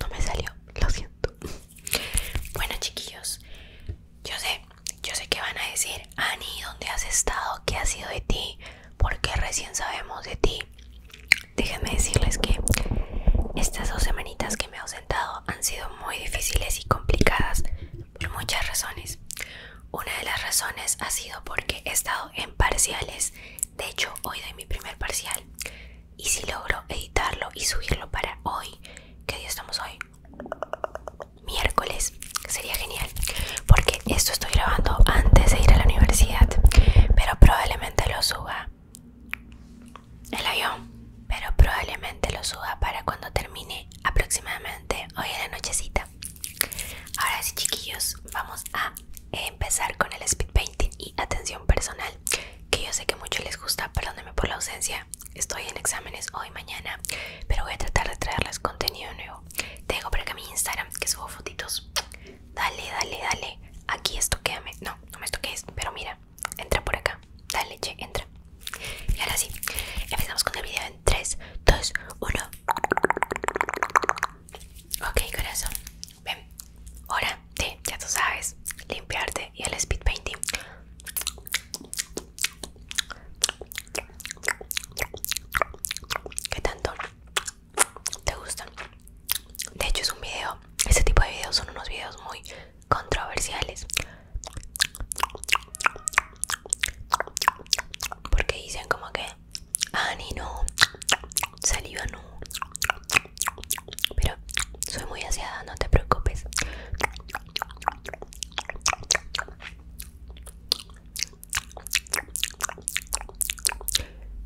no me salió, lo siento. Bueno, chiquillos, yo sé, yo sé que van a decir, Ani, ¿dónde has estado? ¿Qué ha sido de ti? Porque recién sabemos de ti. Déjenme decirles que estas dos semanitas que me he ausentado han sido muy difíciles y complicadas por muchas razones. Una de las razones ha sido porque he estado en parciales de hecho, hoy doy mi primer parcial. Y si logro editarlo y subirlo para hoy, ¿qué día estamos hoy? Miércoles. Sería genial. Porque esto estoy grabando antes de ir a la universidad. Pero probablemente lo suba. El avión. Pero probablemente lo suba para cuando termine aproximadamente hoy en la nochecita. Ahora sí, chiquillos, vamos a empezar con el speed painting y atención personal, que yo sé que mucho les gusta, perdónenme por la ausencia, estoy en exámenes hoy, y mañana, pero voy a tratar de traerles contenido nuevo. Tengo por acá mi Instagram, que subo fotitos. Dale, dale, dale. Aquí esto, quédame No, no me toques, pero mira, entra por acá. Dale, che, entra. Y ahora sí, empezamos con el video en 3, 2, 1. Ok, corazón. Ven, hora de, ya tú sabes, limpiarte y el speed painting. ¿Qué tanto te gustan? De hecho es un video, este tipo de videos son unos videos muy controversiales. Porque dicen como que, ah, ni no, saliva no pero soy muy aseada no te preocupes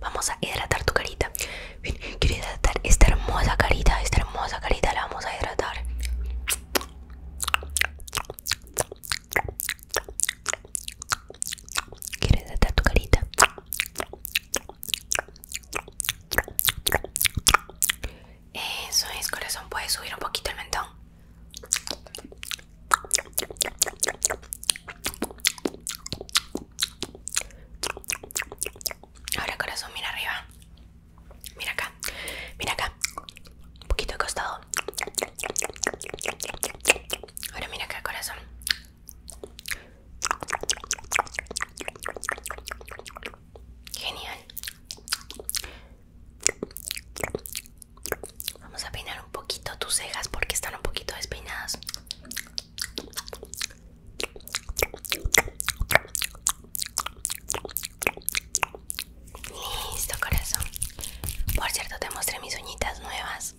vamos a hidratar tu carita bien quiero hidratar esta hermosa carita esta hermosa carita la vamos a hidratar quiero hidratar tu carita eso es, corazón. Puedes subir un poquito el mentón. Ahora, corazón, mira arriba. Mira acá. Mira acá. Un poquito de costado. Ahora mira acá, corazón. Genial. Vamos a peinar un poquito tus cejas porque están un poquito despeinadas. Listo, corazón. Por cierto, te mostré mis uñitas nuevas.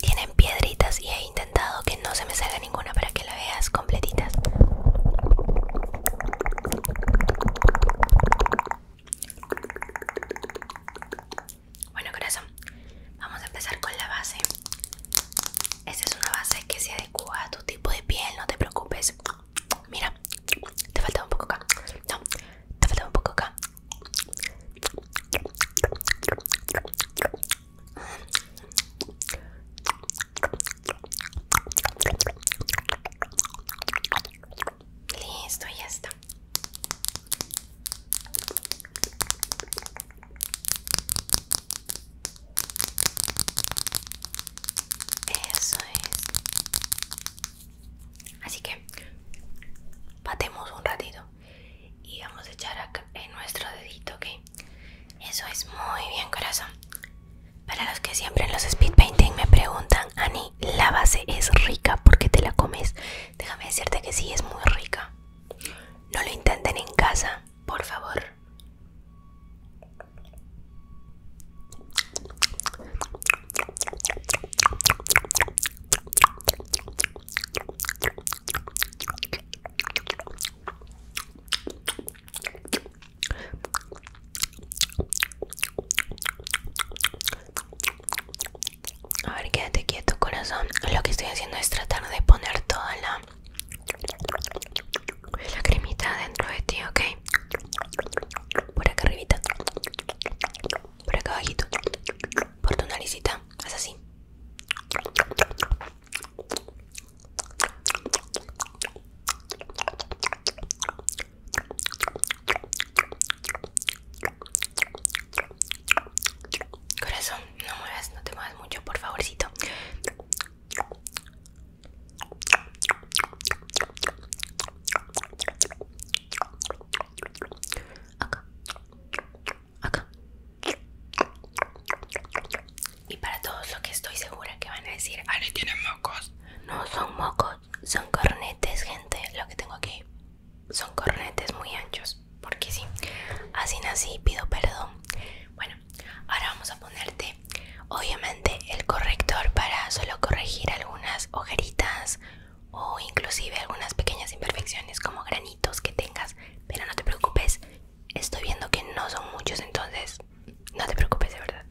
Tienen piedritas y he intentado que no se me salga ninguna para que la veas completitas. Bueno corazón, vamos a empezar con la base. Esta es una base que se adecua a tu tipo de piel, no te preocupes. Mira, te falta un poco acá. No, te falta un poco acá. Listo, ya está. Eso es. Así que batemos un ratito y vamos a echar acá en nuestro dedito, ¿ok? Eso es muy bien, corazón. Para los que siempre en los speed painting me preguntan, Ani, ¿la base es rica porque te la comes? Déjame decirte que sí, es muy rica. No lo intenten en casa, por favor. A ver, quédate quieto, corazón. Lo que estoy haciendo es tratar de poner toda la, la cremita dentro de ti, ¿ok? Por acá arribita. Por acá abajito por tu naricita, haz así. Corazón, no muevas, no te muevas mucho, por favorcito acá, acá. Y para todos los que estoy segura que van a decir, Ale tienen mocos. No son mocos, son cornetes, gente. Lo que tengo aquí son cornetes muy anchos. Porque sí, así nací, pido perdón. Bueno, ahora vamos a ponerte, obviamente, el corrector para solo corregir algunas ojeritas o inclusive algunas pequeñas imperfecciones como granitos que tengas, pero no te preocupes, estoy viendo que no son muchos, entonces no te preocupes de verdad.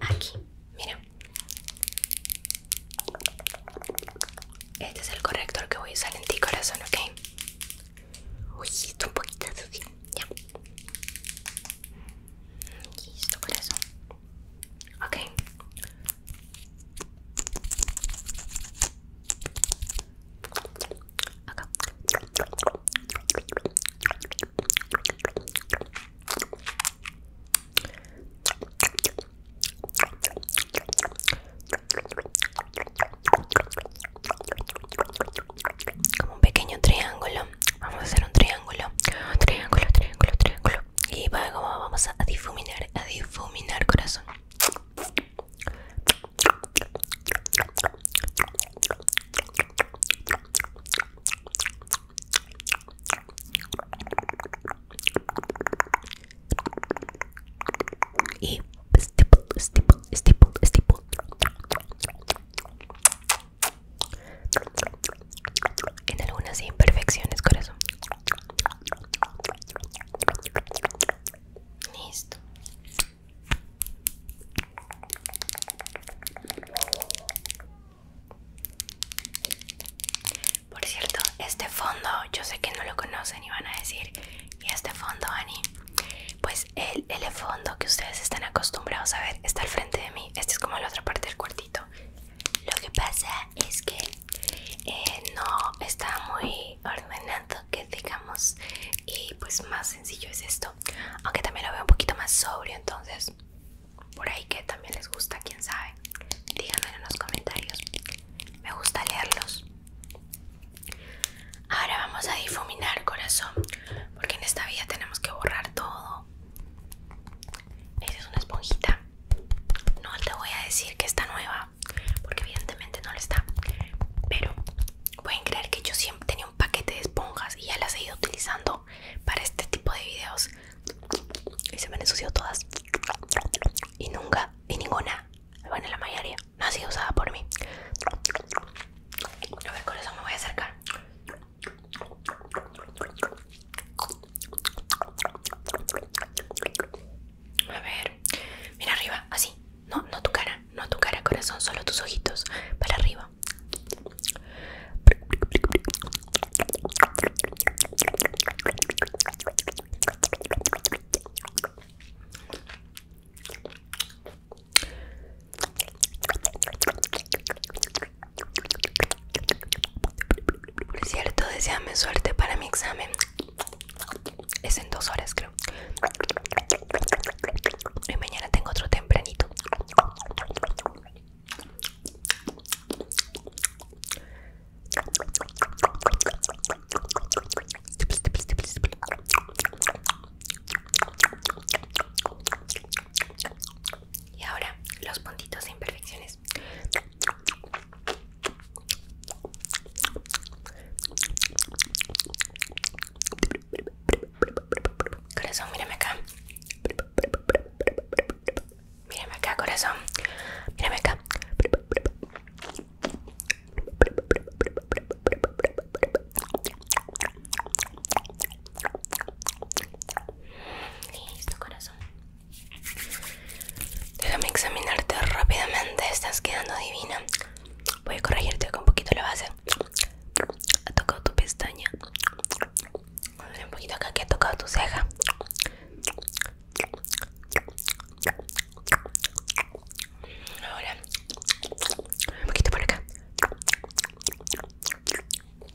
Aquí, mira. Este es el corrector que voy a usar en ti, corazón, ¿ok? Uy, está un poquito sucio. Ya. Listo, corazón. Ok, como un pequeño triángulo. Vamos a hacer un triángulo triángulo, triángulo, triángulo, triángulo. Y luego vamos a difuminar, a difuminar corazón. Y estipul, estipul, estipul, estipul en algunas imperfecciones, corazón. Listo. Por cierto, este fondo, yo sé que no lo conocen y van a decir, ¿y este fondo, Ani? Pues el, el fondo que ustedes están acostumbrados a ver está al frente de mí. Este es como la otra parte del cuartito. Lo que pasa es que eh, no está muy ordenado que digamos y pues más sencillo es esto aunque también lo veo un poquito más sobrio entonces por ahí que también les gusta quién sabe Díganmelo en los comentarios me gusta leerlos ahora vamos a difuminar corazón porque en esta vida tenemos que borrar todo esa es una esponjita. No te voy a decir que está nueva, porque evidentemente no lo está. Pero pueden creer que yo siempre tenía un paquete de esponjas y ya las he ido utilizando para este tipo de videos. Y se me han ensuciado todas. Y nunca, y ninguna, bueno, la mayoría, no ha sido usada por mí. A ver, con eso me voy a acercar. A ver, mira arriba, así. No, no tu cara, no tu cara, corazón, solo tus ojitos para arriba. Por cierto, deseame suerte para mi examen. Es en dos horas, creo. Y mañana tengo otro tempranito. Y ahora los puntitos de imperfecciones. Corazón, mírame acá. Mírame acá, corazón. Mírame acá. Listo, corazón. Déjame examinarte rápidamente. Estás quedando divina. Voy a corregirte con un poquito la base. Ha tocado tu pestaña. A un poquito acá que ha tocado tu ceja. Ahora, un poquito por acá. Listo,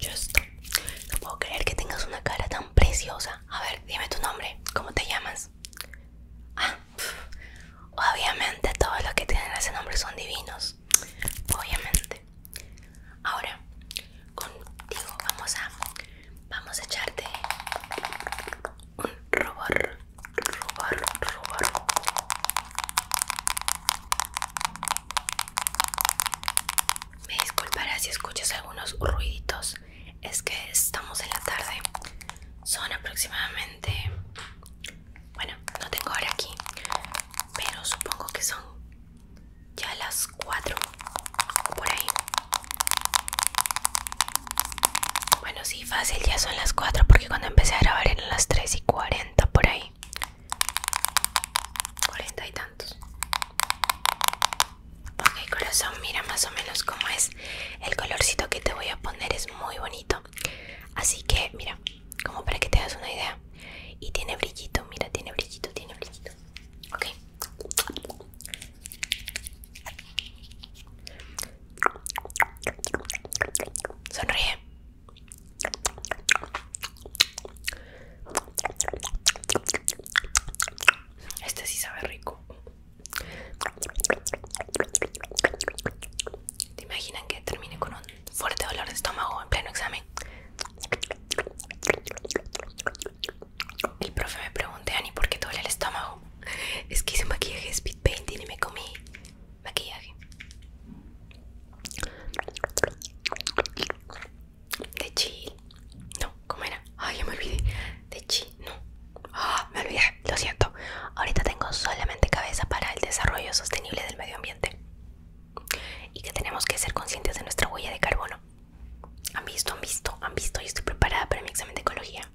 yo No puedo creer que tengas una cara tan preciosa. A ver, dime tu nombre. ¿Cómo te llamas? Ah, obviamente todos los que tienen ese nombre son divinos. Obviamente. Ahora, contigo vamos a vamos a echarte un rubor. rubor. Me disculparás si escuchas algunos ruiditos es que estamos en la tarde son aproximadamente bueno no tengo hora aquí pero supongo que son ya las 4 por ahí bueno sí fácil ya son las 4 porque cuando empecé a grabar eran las 3 y 40 por ahí 40 y tantos Ok corazón, mira más o menos cómo es El colorcito que te voy a poner es muy bonito Así que mira, como para que te das una idea Y tiene brillito, mira, tiene brillito, tiene brillito Ok Sonríe este sí sabe rico. ¿Te imaginan que termine con un fuerte dolor de estómago en pleno examen? El profe me pregunté, Ani, ¿por qué duele el estómago? Es que hice maquillaje speed y me comí maquillaje. De chill. No, ¿cómo era? Ay, yo me olvidé. De chi, no. Ah, me olvidé, lo siento. Ahorita tengo solamente cabeza para el desarrollo sostenible del medio ambiente. Y que tenemos que ser conscientes de nuestra huella de carbono. Han visto, han visto, han visto. Yo estoy preparada para mi examen de ecología.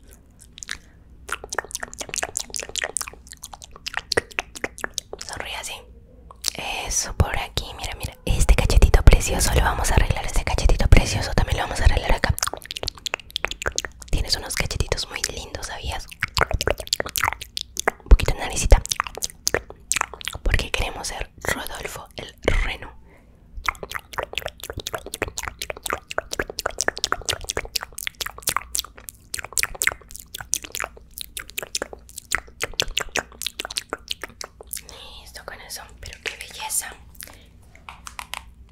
Sonríe así. Eso por aquí, mira, mira. Este cachetito precioso lo vamos a arreglar. Este cachetito precioso también lo vamos a arreglar acá. Tienes unos cachetitos muy lindos, ¿sabías? Un poquito de naricita. Porque queremos ser Rodolfo el Reno. Listo con eso, pero qué belleza.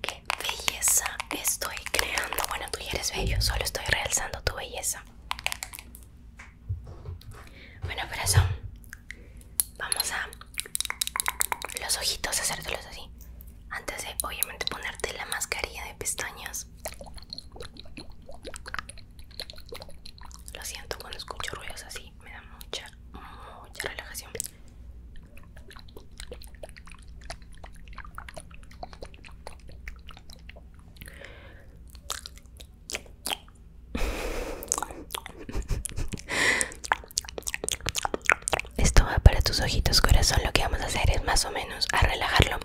Qué belleza estoy creando. Bueno, tú ya eres bello, solo estoy realzando tu belleza. Bueno, corazón, vamos a los ojitos, hacértelos así. Antes de obviamente ponerte la mascarilla de pestañas. Lo siento, cuando escucho ruidos así me da mucha, mucha relajación. Esto va para tus ojitos, corazón. Lo que vamos a hacer es más o menos a relajarlo.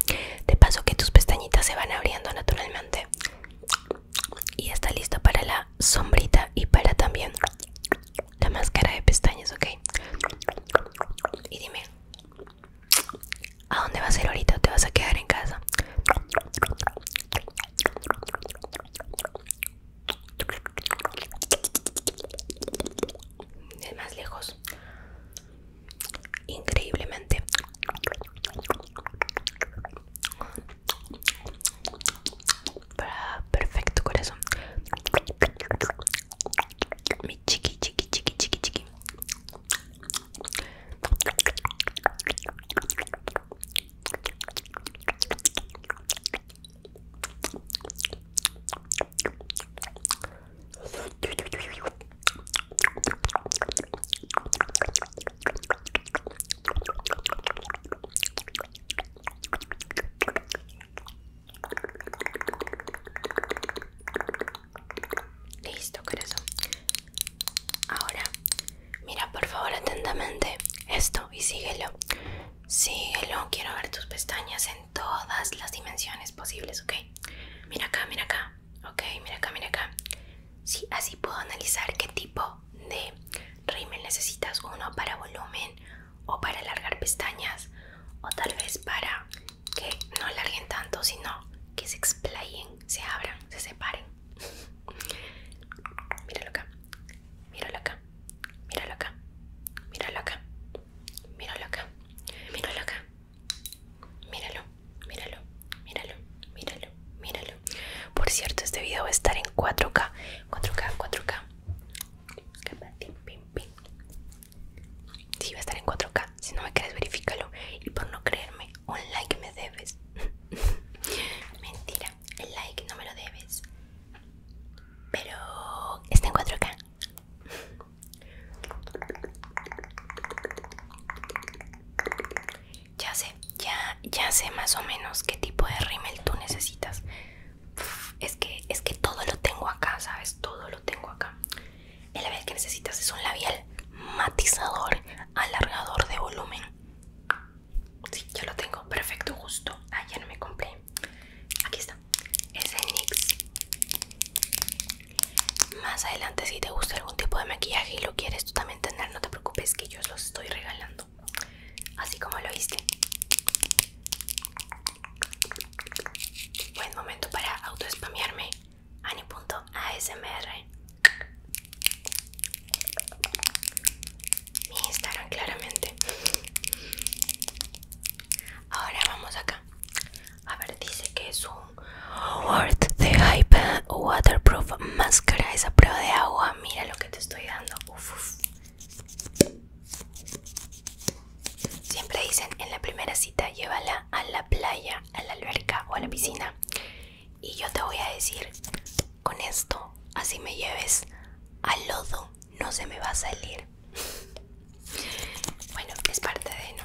De paso que tus pestañitas se van abriendo naturalmente. Y está listo para la sombrita y para también la máscara de pestañas, ¿ok? Y dime, ¿a dónde vas a ir ahorita? te vas a quedar en casa? Es más lejos. Increíblemente. Perfecto, corazón. Mi chiqui, chiqui, chiqui, chiqui, Listo, corazón. Ahora, mira por favor atentamente esto y síguelo. Síguelo, quiero ver tus pestañas en todas las dimensiones posibles, ¿ok? Mira acá, mira acá, ok, mira acá, mira acá. Sí, así puedo analizar qué tipo de rímel necesitas uno para volumen o para alargar pestañas o tal vez para que no alarguen tanto sino que se explayen, se abran, se separen. míralo acá, míralo acá, míralo acá, míralo acá, míralo acá, míralo acá, míralo, míralo, míralo, míralo, míralo, por cierto este video va a estar en 4K 4K 4K si sí, va a estar en 4K si no me crees verifícalo y por no creerme un like me debes mentira el like no me lo debes pero está en 4K ya sé ya, sé más o menos qué tipo de rímel tú necesitas. es que, es que todo lo tengo acá, ¿sabes? Todo lo tengo acá. El labial que necesitas es un labial matizador, alargador de volumen. Sí, yo lo tengo. Perfecto, justo. Ah, ya no me compré. Aquí está. Es el NYX. Más adelante, si te gusta algún tipo de maquillaje y lo quieres tú también tener, no te preocupes que yo los estoy regalando así como lo viste Buen momento para autoespamearme. Ani.asmr. Mi Instagram, claramente. Ahora vamos acá. A ver, dice que es un Word de Hype Waterproof Máscara. Esa prueba de agua. Mira lo que te estoy dando. Siempre dicen en la primera cita llévala a la playa, a la alberca o a la piscina. Y yo te voy a decir, con esto, así me lleves al lodo, no se me va a salir. Bueno, es parte de no.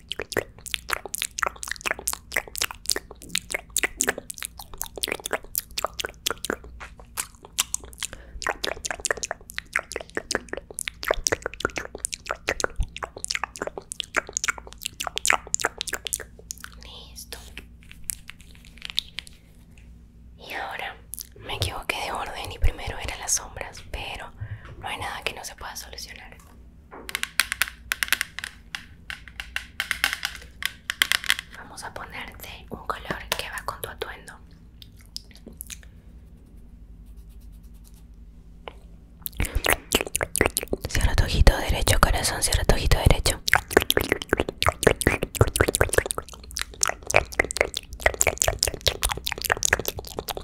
Listo. Y ahora me equivoqué de orden y primero eran las sombras, pero no hay nada que no se pueda solucionar. Vamos a ponerte un color que va con tu atuendo. Cierra tu ojito derecho, corazón, cierra tu ojito derecho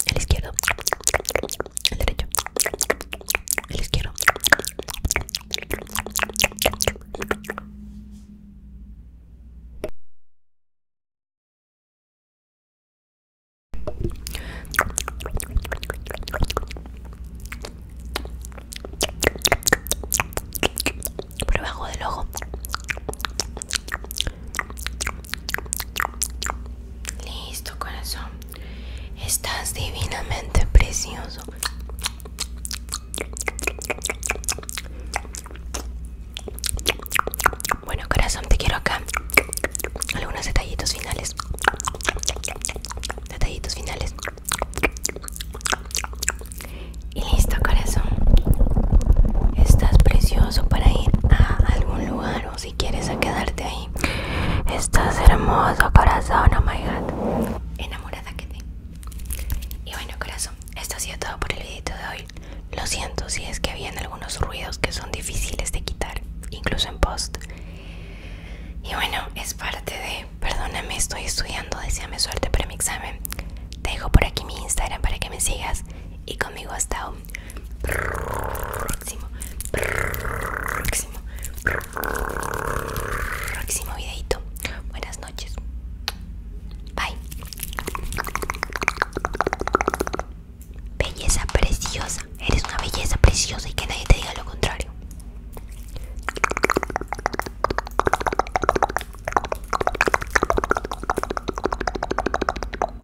el izquierdo, el derecho, el izquierdo. Por debajo del ojo Listo, corazón. Estás divinamente precioso. Bueno, corazón, te quiero acá. Algunos detallitos finales. Detallitos finales. Y listo, corazón. Estás precioso para ir a algún lugar o quieres a quedarte ahí. Estás hermoso, corazón, oh my god. Enamorada que te. Y bueno, corazón, esto ha sido todo por el vídeo de hoy. Lo siento si es que habían algunos ruidos que son difíciles de quitar, incluso en post. Y bueno, es parte de, perdóname, estoy estudiando, deseame suerte para mi examen. Te dejo por aquí mi Instagram para que me sigas. Y conmigo hasta próximo, próximo, próximo videito. Buenas noches. Bye. Belleza preciosa. Eres una belleza preciosa y que nadie te diga lo contrario.